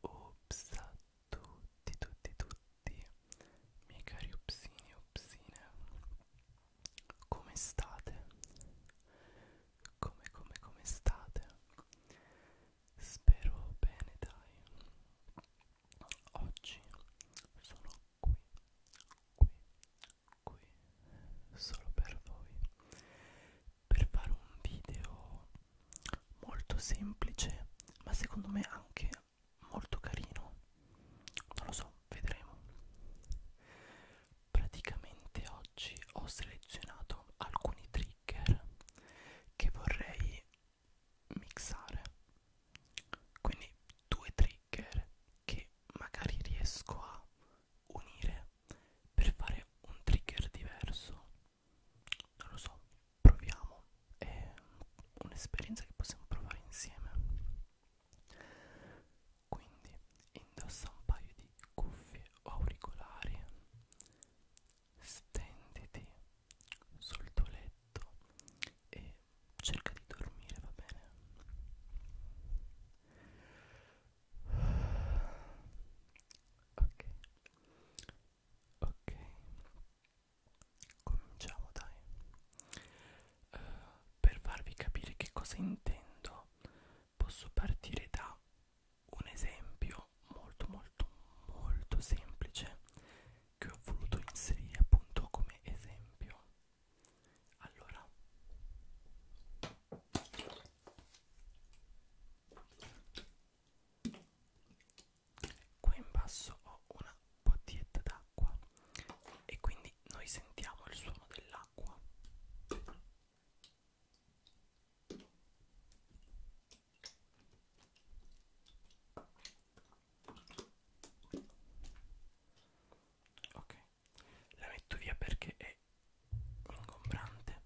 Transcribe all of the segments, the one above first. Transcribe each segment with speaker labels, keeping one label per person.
Speaker 1: Ops a tutti, tutti, tutti, miei cari upsini e upsine, come state? Come, come, come state? Spero bene, dai. Oggi sono qui, qui, qui, solo per voi, per fare un video molto semplice, ma secondo me anche molto carino. Non lo so, vedremo. Praticamente oggi ho selezionato alcuni trigger che vorrei mixare quindi due trigger che magari riesco a unire per fare un trigger diverso non lo so proviamo è un'esperienza che possiamo provare insieme quindi indossa un paio di cuffie o auricolari stenditi sul tuo letto letto e cerca di dormire, va bene? Ok, ok, cominciamo dai. Uh, per farvi capire che cosa intendo, posso partire da un esempio molto molto molto semplice che ho voluto inserire appunto come esempio allora qua in basso ho una bottiglietta d'acqua e quindi noi sentiamo il suono dell'acqua ok la metto via perché è ingombrante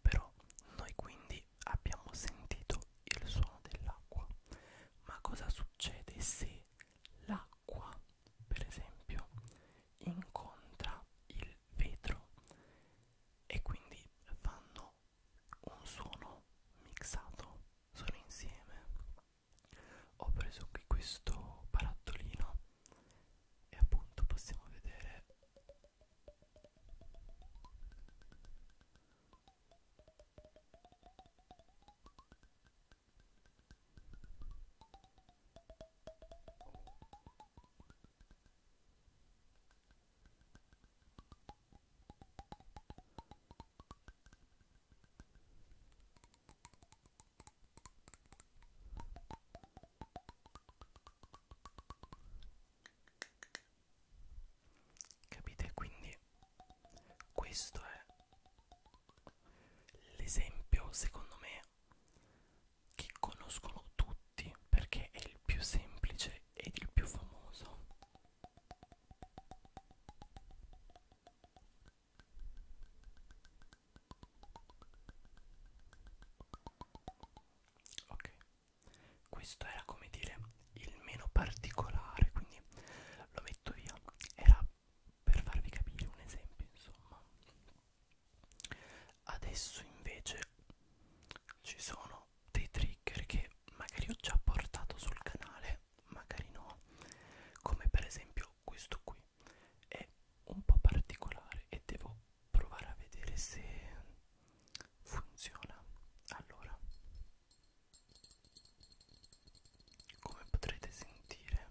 Speaker 1: però noi quindi abbiamo sentito il suono dell'acqua ma cosa succede se l'acqua per esempio incontra il vetro e quindi fanno hanno un suono mixato sono insieme ho preso qui questo barattolino e appunto possiamo vedere Capite quindi questo è l'esempio secondo me che conoscono tutti perché è il più semplice ed il più famoso Ok, questo era come dire il meno particolare, quindi lo metto via. Era per farvi capire un esempio, insomma. Adesso invece ci sono sono dei trigger che magari ho già portato sul canale, magari no, come per esempio questo qui è un po' particolare e devo provare a vedere se funziona. Allora, come potrete sentire,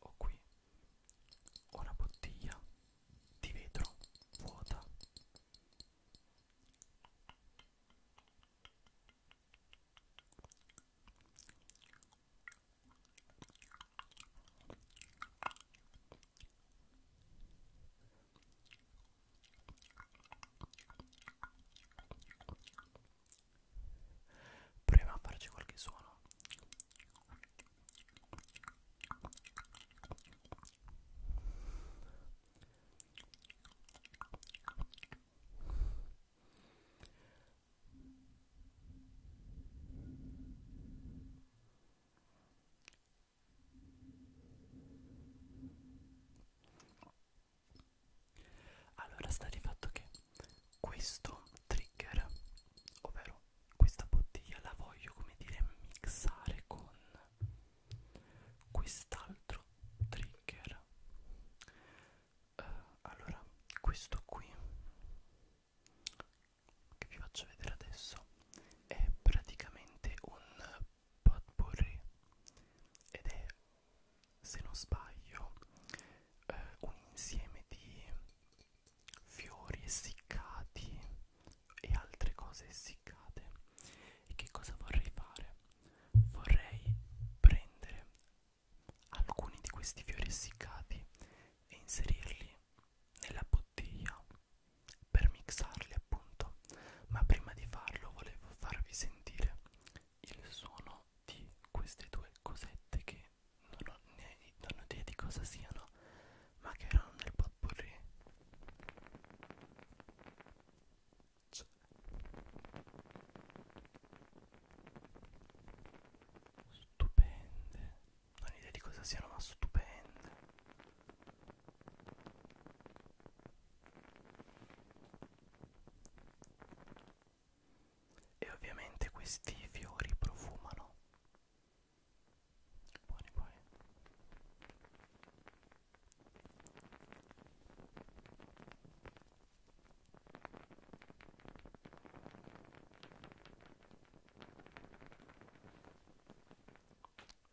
Speaker 1: ho qui una bottiglia di vetro vuota Proviamo a farci qualche suono. Allora sta di fatto che questo trigger, ovvero questa bottiglia, la voglio come dire mixare con quest'altro trigger uh, allora questo qui che vi faccio vedere adesso è praticamente un potpourri ed è se non sbaglio uh, un insieme di fiori essiccati e altre cose essiccate e che cosa vorrei fare vorrei prendere alcuni di questi fiori essiccati e inserirli nella bottiglia per mixarli appunto ma prima di farlo volevo farvi sentire il suono di queste due cosette che non ho, né, non ho idea di cosa siano ma che erano nel potpourri faccia stupende non ho idea di cosa siano ma stupende e ovviamente questi fiori profumano buoni buoni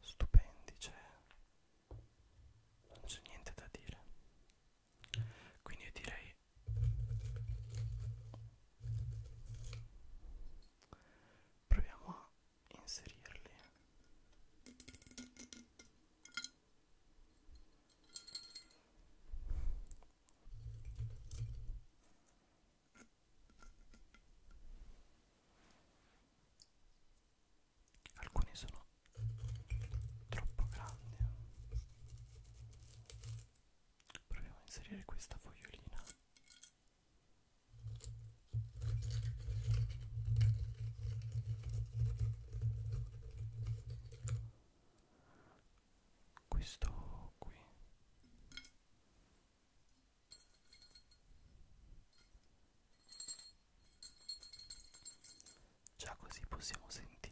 Speaker 1: Stupendi, cioè non c'è niente da dire. Quindi io direi proviamo a inserirli alcuni sono troppo grandi proviamo a inserire questa fogliolina questo qui già così possiamo sentirli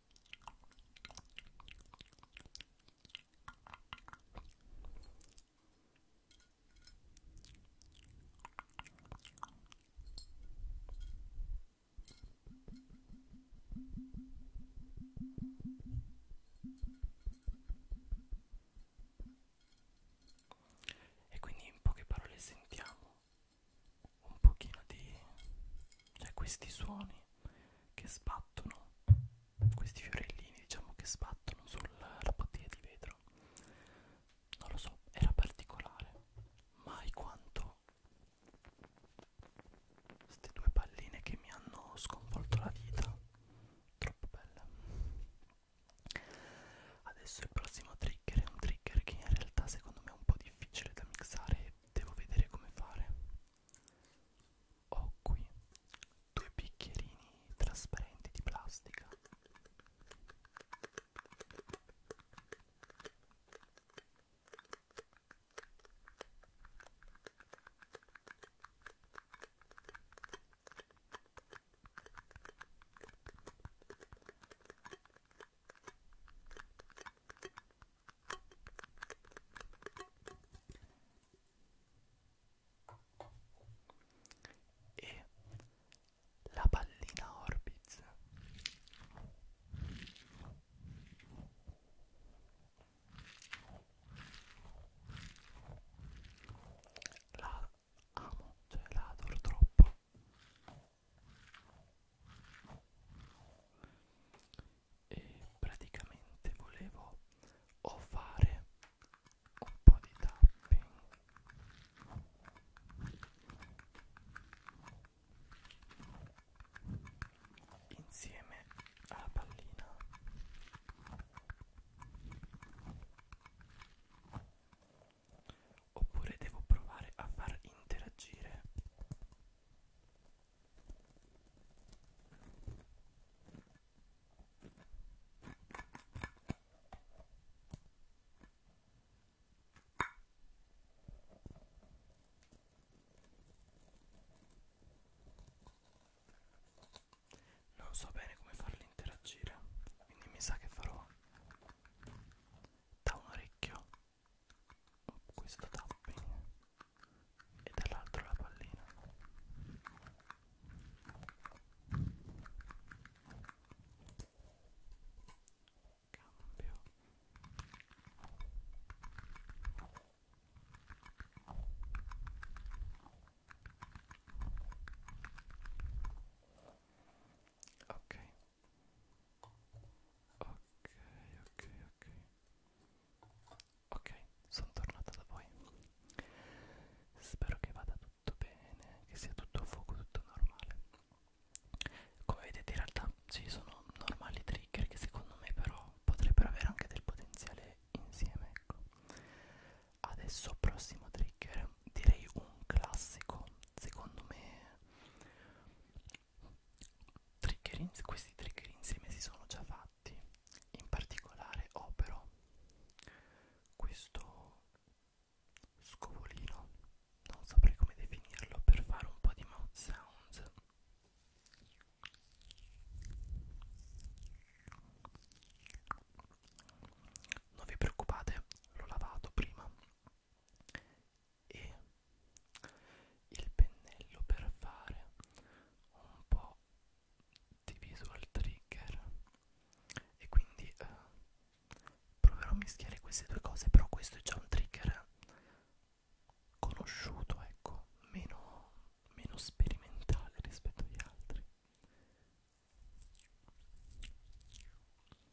Speaker 1: E quindi in poche parole sentiamo un pochino di cioè questi suoni che sbattono questi fiorellini diciamo che sbattono sulla bottiglia di vetro non lo so era particolare mai quanto queste due palline che mi hanno sconvolto la vita troppo belle adesso il prossimo trigger è un trigger che in realtà secondo me è un po' difficile da mixare devo vedere come fare ho qui due bicchierini trasparenti di plastica e la pallina Orbiz la amo, cioè la adoro troppo e praticamente volevo o fare un po' di tapping insieme alla pallina oppure devo provare a far interagire non so bene come farli interagire, quindi mi sa che farò da un orecchio questo tapping e dall'altro la pallina cambio ok ok ok ok ok sono tornata da voi spero che vada tutto bene che sia tutto a fuoco tutto normale come vedete in realtà ci sono normali trigger che secondo me però potrebbero avere anche del potenziale insieme ecco adesso prossimo trigger direi un classico secondo me trigger in, questi trigger insieme si sono già fatti in particolare opero questo scovolino non saprei come definirlo per fare un po' di mouth sounds non vi preoccupate l'ho lavato prima e il pennello per fare un po' di visual trigger e quindi eh, proverò a mischiare queste due cose però questo è già un trigger conosciuto ecco meno, meno sperimentale rispetto agli altri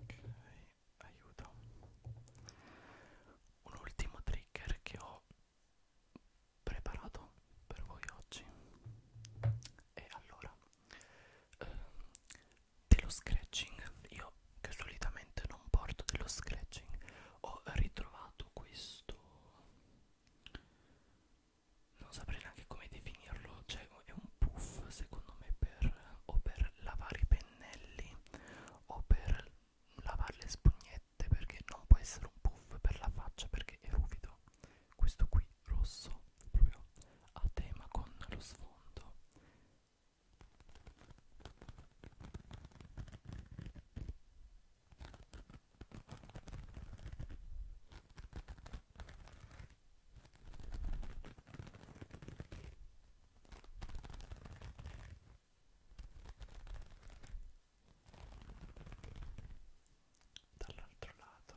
Speaker 1: Ok, aiuto. Un ultimo trigger che ho preparato per voi oggi e allora ehm, dello scratching io che solitamente non porto dello scratching ho ritrovato questo non saprei neanche come definirlo cioè è un puff secondo me per o per lavare i pennelli o per lavare le spugnette perché non può essere un puff per la faccia perché è ruvido questo qui rosso proprio a tema con lo sfondo dall'altro lato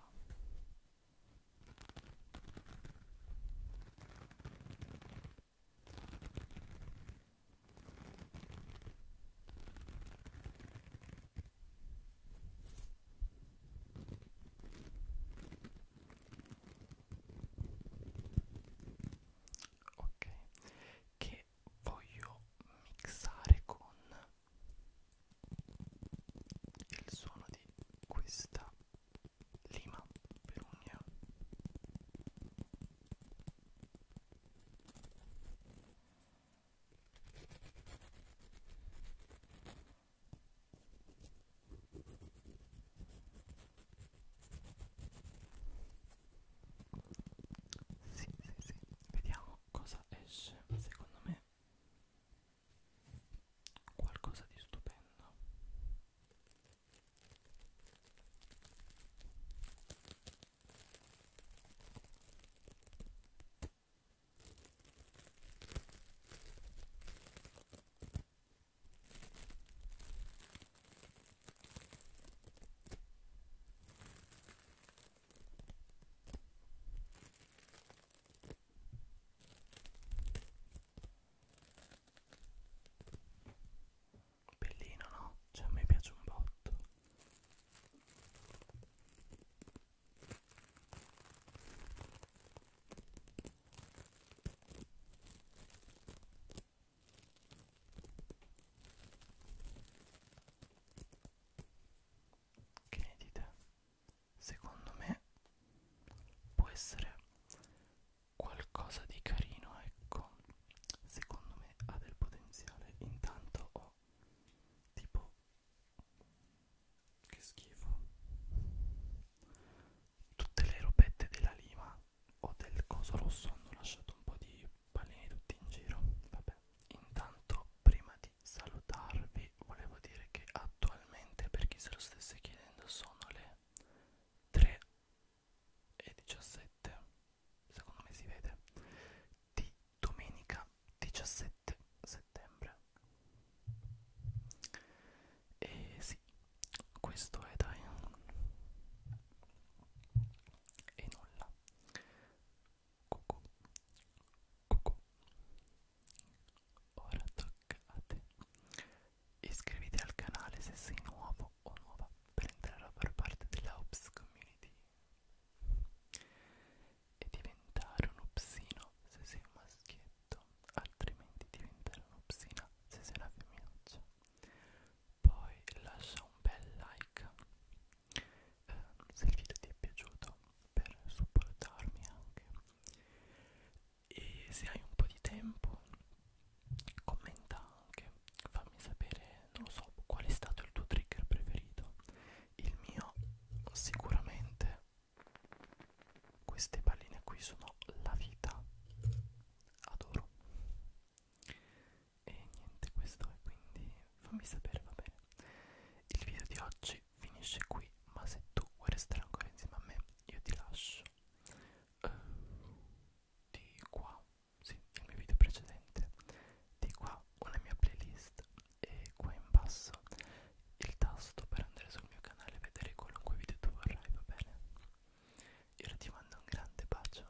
Speaker 1: ok che che voglio mixare con il suono di questa lima per unghia sì, sì, sì. Vediamo cosa esce. Secondo me qualcosa di stupendo. Bellino, no? Cioè a me piace un botto. Che ne dite? Secondo me può essere qualcosa di carino, ecco. Secondo me ha del potenziale. Intanto ho tipo che schifo. Tutte le robette della lima o del coso rosso hanno lasciato un po' di pallini tutti in giro vabbè intanto prima di salutarvi volevo dire che attualmente per chi se lo stesse chiedendo sono le 3 e 17 secondo me si vede di domenica 17 settembre e sì questo è dai e nulla cucù cucù ora tocca a te iscriviti al canale se sei nuovo o nuova per entrare a far parte della Ops Community e diventare un upsino se sei un maschietto altrimenti diventare un upsina se sei una femminuccia poi lascia un bel like eh, se il video ti è piaciuto per supportarmi anche e se hai un po' di tempo commenta anche fammi sapere non lo so qual è stato il tuo trigger preferito il mio sicuramente queste palline qui sono la vita adoro e niente questo è quindi fammi sapere va bene il video di oggi finisce qui ma se tu vuoi restare ancora insieme a me io ti lascio uh, di qua sì, il mio video precedente di qua una mia playlist e qua in basso il tasto per andare sul mio canale e vedere qualunque video tu vorrai va bene io ti mando un grande bacio